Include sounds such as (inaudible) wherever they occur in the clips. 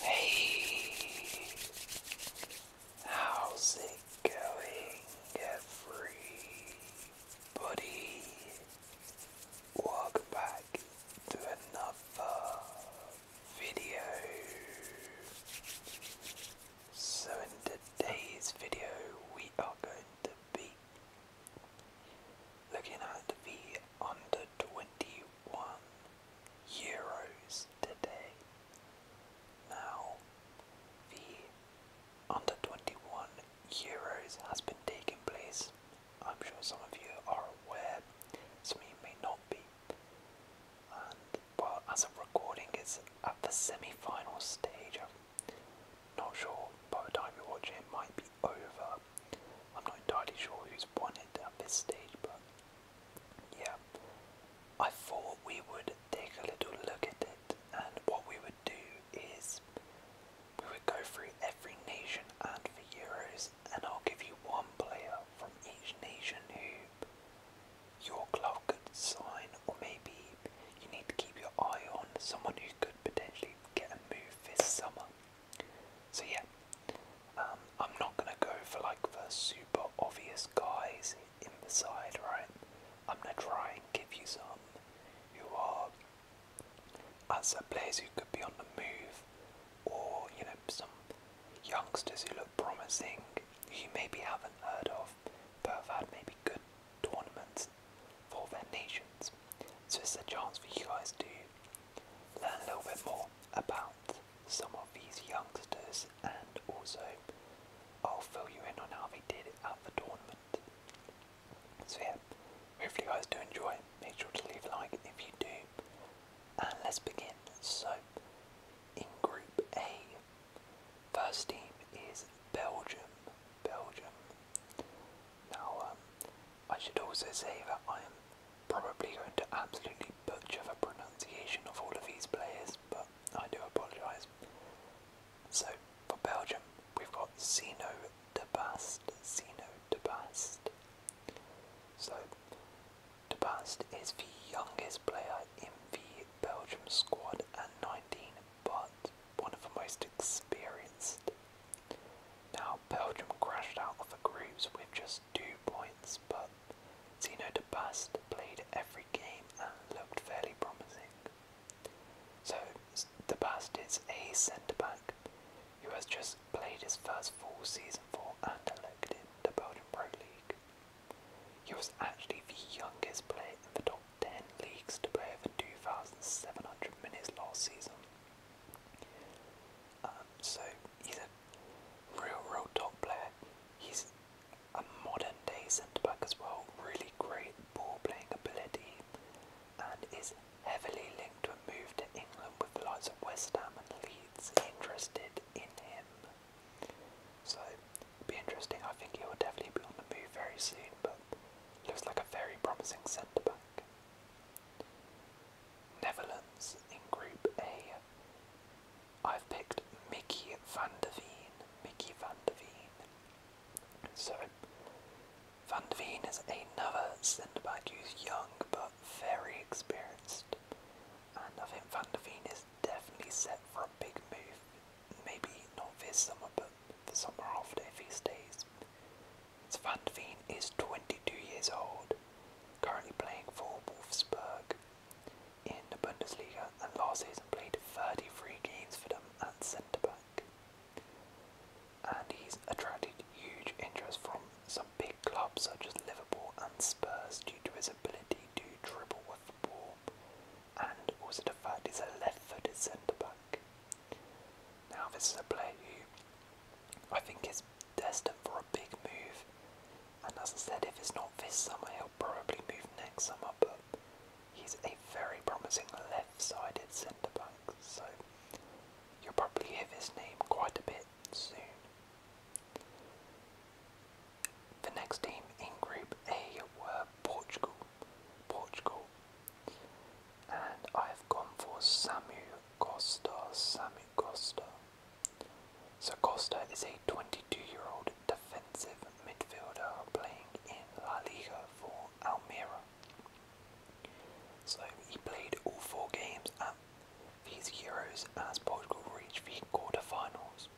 Hey, how's it going, everybody? Welcome back to another video. So, in today's video, we are going to be looking at the under 21 euros today. Now, the under 21 euros has been taking place. I'm sure some of you are aware, some of you may not be. And well, as i recording, it's at the semi final stage. i not sure by the time you're watching, it might be over. I'm not entirely sure who's won it at this stage, but yeah, I thought we would take a little look at it, and what we would do is we would go through every nation and the Euros, and I'll give you one player from each nation who your club could sign, or maybe you need to keep your eye on someone who could potentially get a move this summer. So yeah, um, I'm not gonna go for like the super obvious guys in the side, right? I'm gonna try and give you some who are as players who could be on the move, or you know some youngsters who look promising, you maybe haven't heard of, but have had maybe good tournaments for their So it's a chance for you guys to learn a little bit more about some of these youngsters and also I'll fill you in on how they did at the tournament. So yeah, hopefully you guys do enjoy. Make sure to leave a like if you do. And let's begin. So in group A, first team is Belgium. Belgium. Now um, I should also say that I am probably going to absolutely butcher the pronunciation of all of these players, but I do apologise. So for Belgium, we've got Zeno de Bast, Zeno de Bast. So de Bast is the youngest player in the Belgium squad at 19, but one of the most experienced. Now Belgium crashed out of the groups with just two points, but Zino de Bast played every game and looked fairly promising. So, de Bast is a centre back who has just played his first full season for and elected the Belgian Pro League. He was actually the youngest player in the top 10 leagues to play over 2,700 minutes last season. Um, so he's real, real top player. He's a modern day centre back as well. Really great ball playing ability, and is heavily linked to a move to England with the likes of West Ham and Leeds interested in him. So it'll be interesting. I think he will definitely be on the move very soon, but looks like a very promising centre back. Netherlands in Group A. I've picked Mickey van der Veen. Mickey van der Veen. So, van der Veen is another centre back who's young but very experienced. And I think van der Veen is definitely set for a big move. Maybe not this summer, but the summer after if he stays. van der Veen is 22 years old currently playing for Wolfsburg in the Bundesliga and last season played 33 games for them at centre back. And he's attracted huge interest from some big clubs such as Liverpool and Spurs due to his ability to dribble with the ball and also the fact he's a left footed centre back. Now, this is a player who I think is destined for a big move. And as I said, if it's not this summer, he'll probably move next summer. But he's a very promising left-sided centre back, so you'll probably hear his name quite a bit soon. The next team in Group A were Portugal. Portugal. And I've gone for Samu Costa. Samu Costa. So Costa is a 22-year-old defensive midfielder playing in La Liga for Almira. So he played all four games at these Euros as Portugal reached the quarterfinals.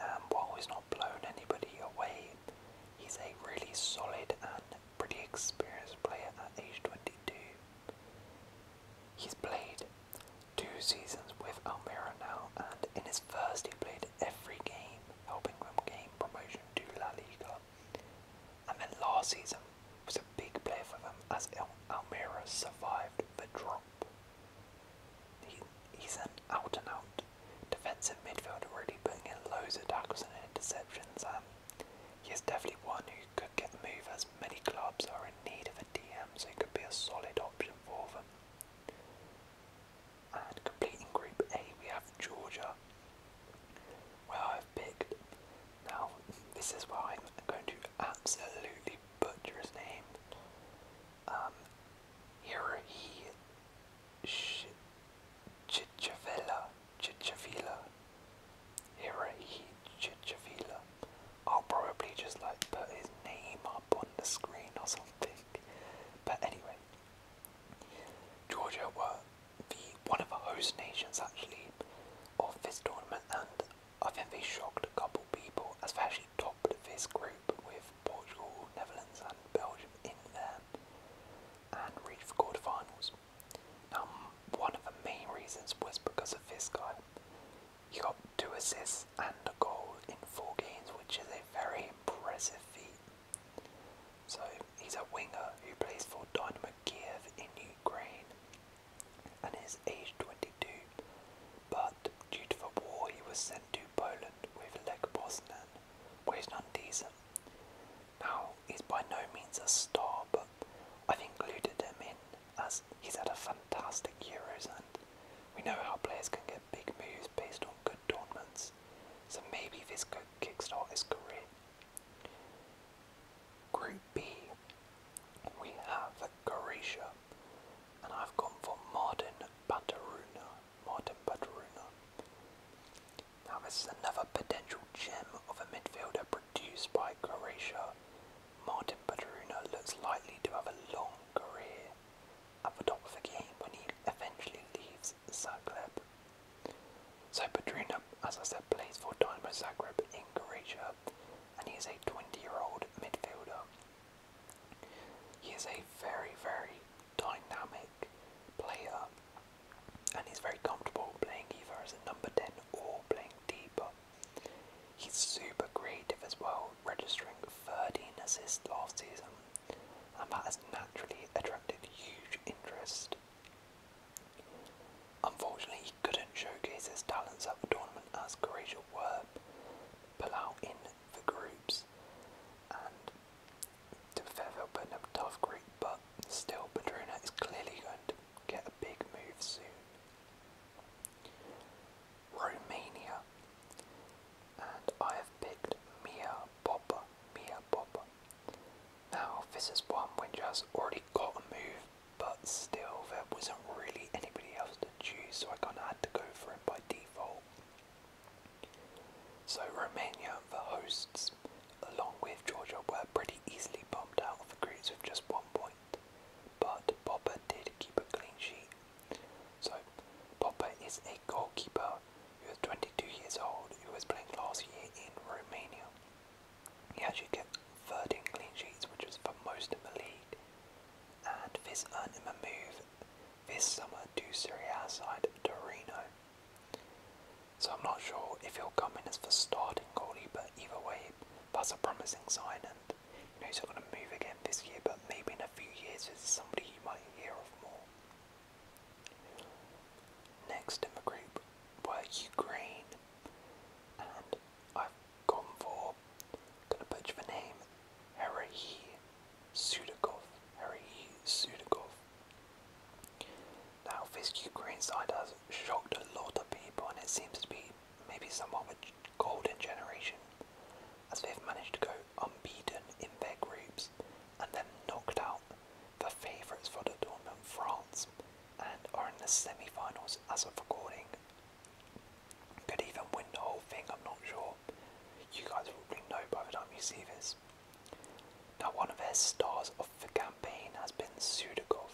And while he's not blown anybody away, he's a really solid and pretty experienced player at age 22. He's played two seasons with Almira now, and in his first he played every game, helping them gain promotion to La Liga. And then last season was a big player for them as Al Almira survived the drop. He, he's an out and out defensive midfielder, already putting in loads of tackles and interceptions. and he is definitely one who could get move as as many clubs are in need of a DM, so he could be a solid option for them. And completing Group A, we have Georgia, where I've picked. Now, this is where I'm going to absolutely butcher his name. Um, Hirohi Chichavilla, Chichavilla, Hirahi Chichafila. I'll probably just like put his name up on the screen or something. But anyway, Georgia were the one of the host nations actually of this tournament, and I think they shocked a couple people as they actually topped this group with Portugal, Netherlands, and Belgium in there, and reached the quarterfinals. Um, one of the main reasons was because of this guy. He got two assists and a goal in four games, which is a very impressive feat. So he's a winger who plays for Dynamo Kiev in Ukraine and is aged 22. But due to the war, he was sent to Poland with Leg Poznan, where he's done decent. Now he's by no means a star, but I've included him in as he's had a fantastic Euros, and we know how players can get big moves based on good tournaments. So maybe this could kickstart his career. Group B, we have Croatia, and I've gone for Martin Bataruna. Martin Bataruna. Now this is another potential gem of a midfielder produced by Croatia Martin Butteruno looks likely to have a long career at the top of the game when he eventually leaves Zagreb. So Butteruno, as I said, plays for Dynamo Zagreb in Croatia and he is a 20-year-old midfielder. He is a very, very dynamic player and he's very comfortable playing either as a number 10 or playing deeper. He's super creative as well, registering 13 assists last season, and that has naturally attracted huge interest. Unfortunately, he couldn't showcase his talents at the tournament as Croatia were pull out in the groups, and to be fair, they tough group, but still, Padrona is clearly going to get a big move soon. Romania. And I have picked Mia Popper. Mia Popper. Now, this is one which has already got a move, but still, there wasn't really anybody else to choose, so I kind of had to go for it by default. So, Romania, the hosts, along with Georgia, were pretty easily bumped out of the groups with just one point but Popper did keep a clean sheet. So, Popper is a goalkeeper who is 22 years old He was playing last year in Romania. He actually kept 13 clean sheets, which was for most of the league, and this earned him a move this summer to Serie A side Torino. So I'm not sure if he'll come in as the starting goalie, but either way, that's a promising sign, and he's not going to move again this year, but maybe in a few years there's somebody you might hear of more. Next in the group were Ukraine, and I've gone for, going to butcher the name, Herahi Sudakov. Herahi Sudakov. Now, this Ukraine side has shocked a lot of people, and it seems to be maybe somewhat of golden generation, as they've managed to go unbeaten in their groups and then knocked out the favourites for the tournament, France, and are in the semi finals as of recording. Could even win the whole thing, I'm not sure. You guys probably know by the time you see this. Now, one of their stars of the campaign has been Sudakov.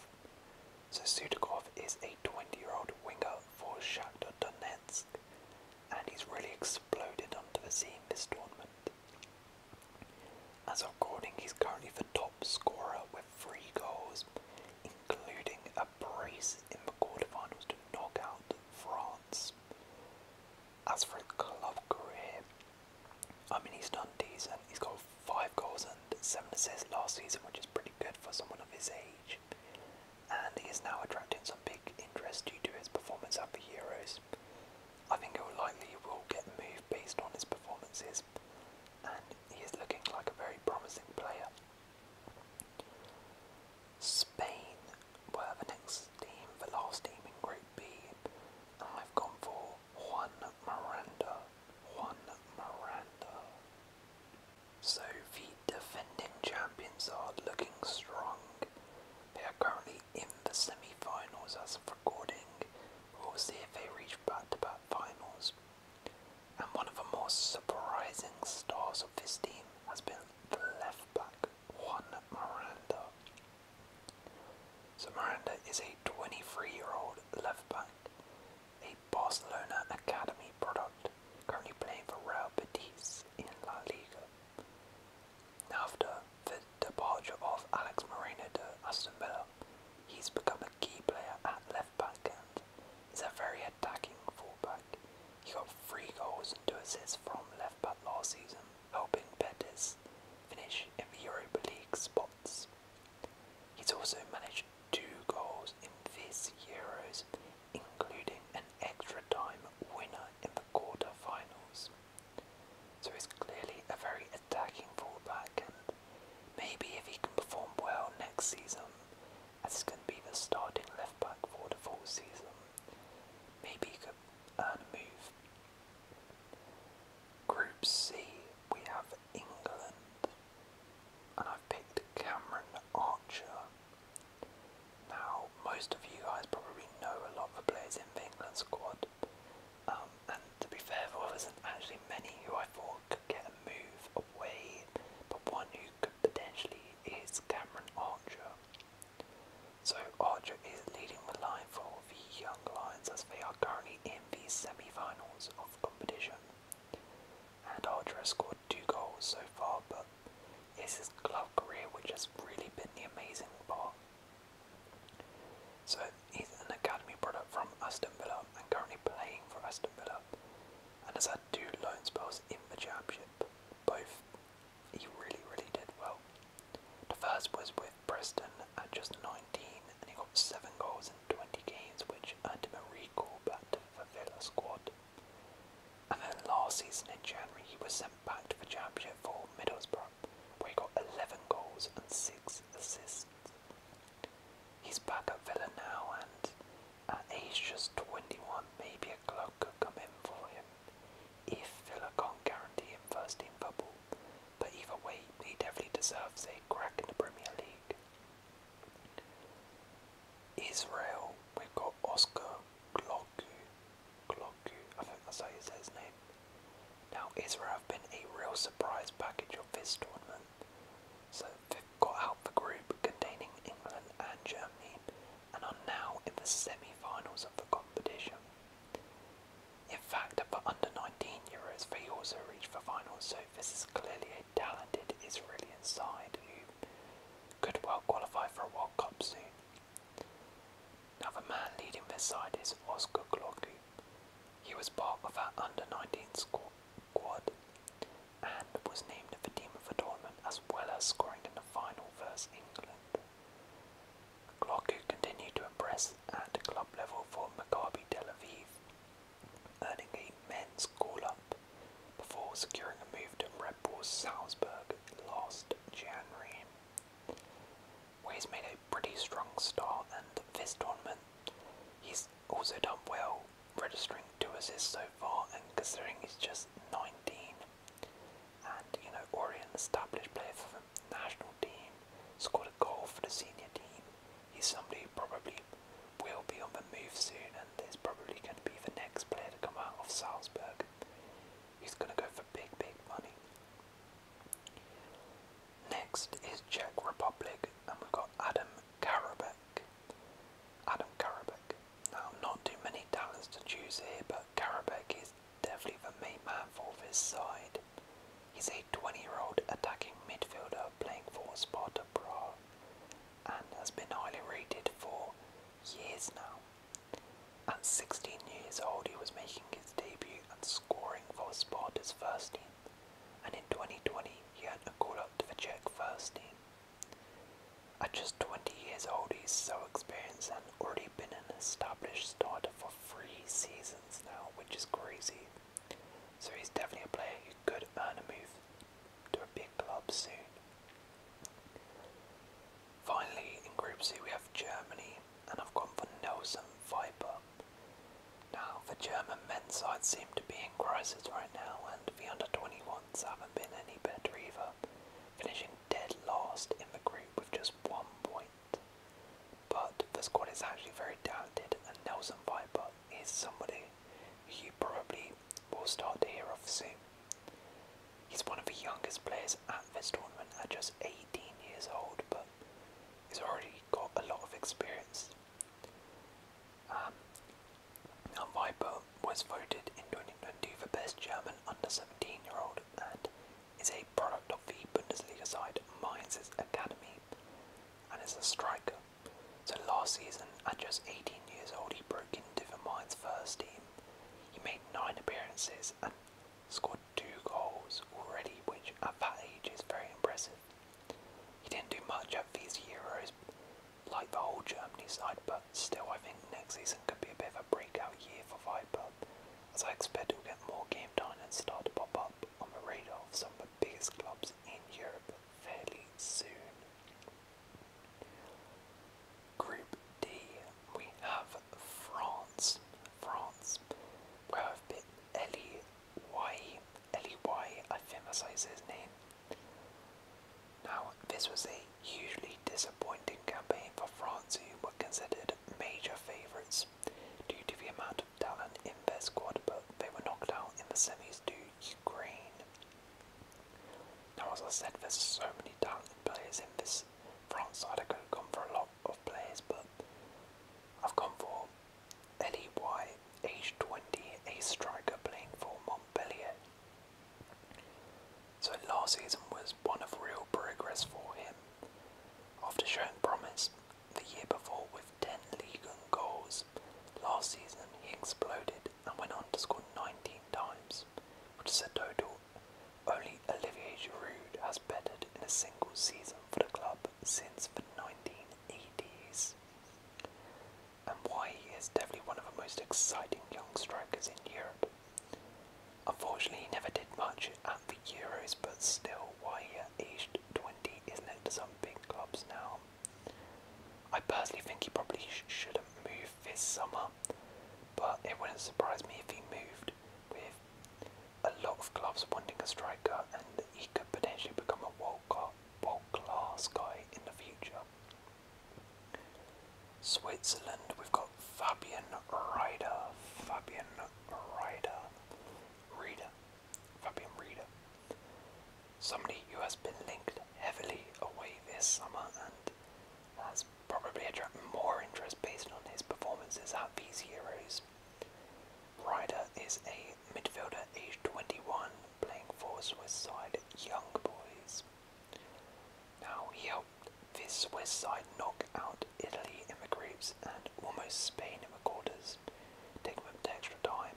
So, Sudakov is a 20 year old winger for Shakhtar Donetsk, and he's really exploded onto the scene this tournament. As of recording, he's currently the top scorer with three goals, including a brace in the quarterfinals to knock out France. As for his club career, I mean, he's done decent. He's got five goals and seven assists last season, which is pretty good for someone of his age. And he is now attracting some big interest due to his performance at the Euros. I think it will likely will get moved based on his performances, and he is looking like a very promising player. Spain were the next team, the last team in Group B. have gone for Juan Miranda. Juan Miranda. So the defending champions are looking strong. They are currently in the semi-finals as of recording. We'll see if they reach back-to-back finals. And one of the most surprising stars of this team has been the left back Juan Miranda. So Miranda is a 23-year-old left back a Barcelona Academy product, currently playing for Real Betis in La Liga. After the departure of Alex Moreno to Aston Villa, he's become a key player at left back and is a very attacking fullback. He got three goals and two assists from left back last season, helping Betis finish in the Europa League spots. He's also managed two goals in this Euros, including an extra time winner in the quarter-finals. So he's clearly a very attacking fullback, and maybe if he can perform well next season, as he's going to be the starting left back for the full season, maybe he could earn a move. Group C, we have England, and I've picked Cameron Archer. Now, most of you guys probably know a lot of the players in the England squad, um, and to be fair, there was actually many who I thought could get a move away, but one who could potentially is Cameron Archer. So Archer is leading the line for the Young Lions as they are currently in the semi-finals of the competition. And Hydra scored two goals so far, but it's his club career which has really been the amazing part. So he's an academy product from Aston Villa and currently playing for Aston Villa, and has had two loan spells in the championship. Both he really, really did well. The first was with Preston at just 19, and he got seven goals in 20 games, which earned him a recall back for Villa squad. And then last season in January he was sent back to the championship for Middlesbrough, where he got 11 goals and 6 assists. He's back at Villa now and he's just 21 maybe a club could come in for him if Villa can't guarantee him first team football, but either way he definitely deserves a crack in the Premier League. Israel, we've got Oscar Glocku. Glocku, I think that's how you say his name. Now, Israel have been a real surprise package of this tournament. So they've got out the group containing England and Germany and are now in the semi-finals of the competition. In fact, for under 19 Euros, they also reached the finals, so this is clearly a talented Israeli side who could well qualify for a World Cup soon. Another man leading this side is Oscar Glocku. He was part of that under-19 squad and was named a team of the tournament as well as scoring in the final versus England. Glocku continued to impress at club level for Maccabi Tel Aviv earning a men's call-up before securing a move to Red Bull Salzburg last January. Where he's made a pretty strong start, and this tournament he's also done well, registering two assists so far, and considering he's just 19 and you know already an established player for the national team, scored a goal for the senior team, he's somebody who probably will be on the move soon and is probably going to be the next player to come out of Salzburg. He's going to go for big, big money. Next is Czech Republic, and we've got Adam Karabek. Adam Karabek. Now, not too many talents to choose here, but Karabek is definitely the main man for this side. He's a 20 year old attacking midfielder playing for Sparta Prague and has been highly rated for years now. At 16 years old, he was making his debut and scoring for Sparta's first team, and in 2020, he had a call up to the Czech team. At just 20 years old, he's so experienced and already been an established starter for three seasons now, which is crazy. So he's definitely a player who could earn a move to a big club soon. Finally, in Group C, we have Germany, and I've gone for Nelson Viper. Now, the German men's side seem to be in crisis right now, and the under 21s haven't been any better either, finishing dead last in the group with just one point. But the squad is actually very talented, and Nelson Viper is somebody you probably will start to hear of soon. He's one of the youngest players at this tournament at just 18 years old, but he's already got a lot of experience. Um, now Viper was voted in 2022 for best German under 17 year old and is a product of the Bundesliga side Mainz's Academy and is a striker. So last season, at just 18 years old, he broke into the Mines' first team. He made nine appearances and scored two goals already, which at that age is very impressive. He didn't do much of his Euros, like the whole Germany side, but still, I think next season could be a bit of a breakout year for Viper, as I expect he'll get more game time and start to pop up on the radar of some of the biggest clubs in Europe fairly soon. Group D, we have France. France, where I've you say his name. Now, this was a hugely disappointing campaign for France, who were considered major favourites due to the amount of talent in their squad, but they were knocked out in the semis to Ukraine. Now, as I said, there's so many talented players in this France side. I could have gone for a lot of players, but I've gone for Eddie White, age 20, a striker playing for Montpellier. So last season was one of real progress for him. After showing promise the year before with 10 league goals. Last season, he exploded and went on to score 19 times, which is a total only Olivier Giroud has bettered in a single season for the club since the 1980s. And why he is definitely one of the most exciting young strikers in Europe. Unfortunately, he never did much at the Euros, but still, why he aged 20 is linked to some big clubs now. I personally think he probably shouldn't move this summer, but it wouldn't surprise me if he moved with a lot of clubs wanting a striker, and he could potentially become a world, world class guy in the future. Switzerland, we've got Fabian Ryder. Fabian Ryder. Reader. Fabian Reader. Somebody who has been linked heavily away this summer and has probably attracted more interest based on his performances at these Euros. Ryder is a midfielder aged 21 playing for Swiss side Young Boys. Now he helped this Swiss side knock out Italy in the groups and almost Spain in the quarters, taking them to extra time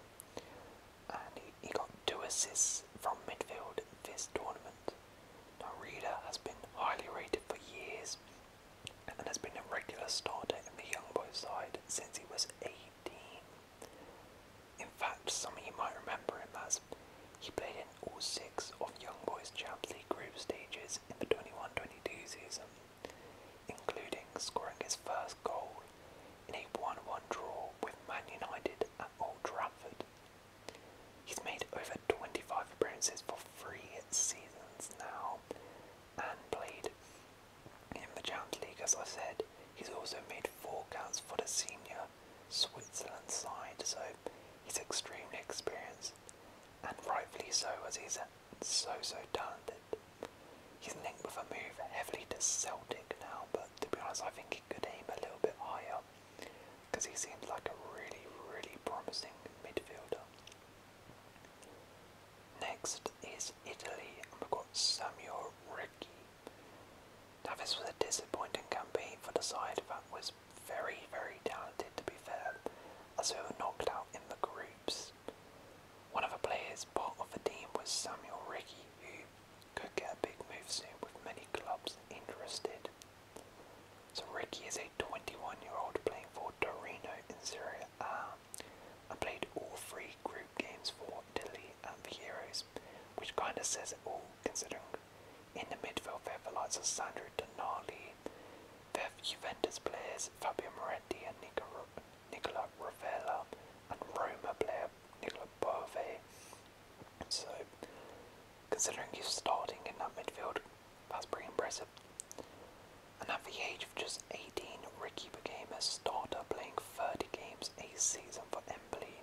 and he, he got two assists from midfield in this tournament. Now, Reader has been highly rated for years and has been a regular starter in the Young Boys side since he was 18. In fact, some of you might remember him as he played in all six of Young Boys Champions League group stages in the 21 season, including scoring his first goal in a 1 1 draw with Man United at Old Trafford. He's made over 25 appearances for three seasons now and played in the Champions League, as I said. He's also made four caps for the senior Switzerland side, so he's extremely experienced and rightfully so, as he's so so talented. He's linked with a move heavily to Celtic now, but to be honest, I think he could aim a little bit higher because he seems like a really, really promising midfielder. Next is Italy, and we've got Samuel Ricci. Now, this was a disappointing campaign for the side that was very, very talented, to be fair, as they were knocked out in the groups. One of the players part of the team was Samuel Ricci, who could get a big move soon with many clubs interested. So Ricky is a 21 year old playing for Torino in Serie A and played all three group games for Delhi and the Euros, which kind of says it all considering in the midfield they have the likes of Sandro Donali, they have Juventus players Fabio Moretti and Nicola Ravella, and Roma player Nicola Bove. So, considering he's starting in that midfield, that's pretty impressive. And at the age of just 18, Ricky became a starter, playing 30 games a season for Empoli.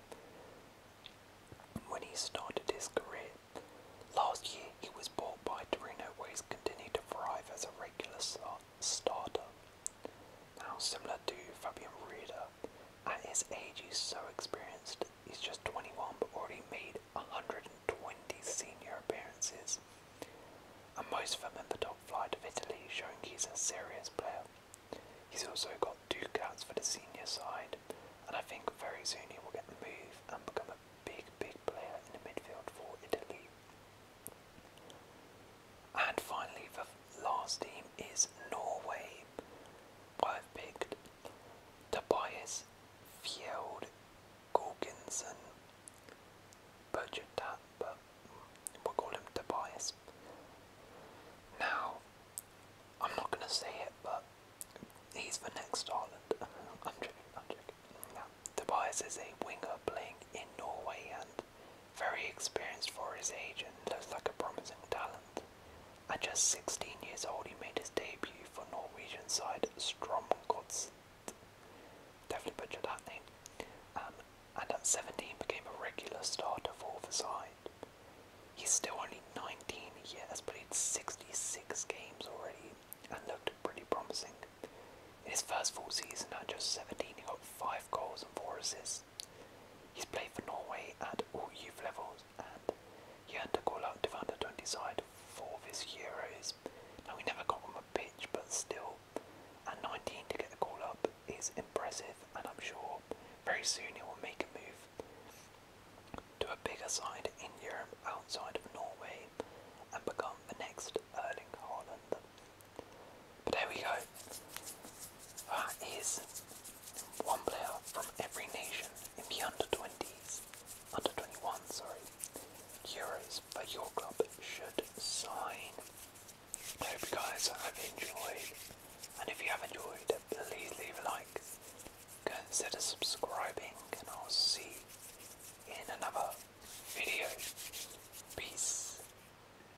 When he started his career last year, he was bought by Torino, where he's continued to thrive as a regular star. Starter. Now, similar to Fabian Rieder, at his age he's so experienced, he's just 21 but already made 120 senior appearances. And most of them in the top flight of Italy, showing he's a serious player. He's also got two caps for the senior side, and I think very soon he will get the move and become a big, big player in the midfield for Italy. And finally, the last team is Norway. I've picked Tobias Fjeld Gorgensen. Butchered but we'll call him Tobias. Now, I'm not going to say it, but he's the next island. (laughs) Tobias is a winger playing in Norway and very experienced for his age and looks like a promising talent. At just 16 years old, he made his debut for Norwegian side Strom Godset. Definitely butchered that name. Um, and at 17 became a regular starter for the side. He's still only 19 years, but he's 66 games already and looked pretty promising. In his first full season at just 17, he got 5 goals and 4 assists He's played for Norway at all youth levels and he had to call up to the under 20 side for this Euros. Now we never got on the pitch, but still, at 19 to get a call up is impressive, and I'm sure very soon he will make a move to a bigger side in Europe outside of Norway and become the next Erling Haaland. But there we go. That is one player from every nation in the under 20s, under 21, sorry, Euros that your club should sign. I hope you guys have enjoyed, and if you have enjoyed, please leave a like, consider subscribing, and I'll see in another video. Peace.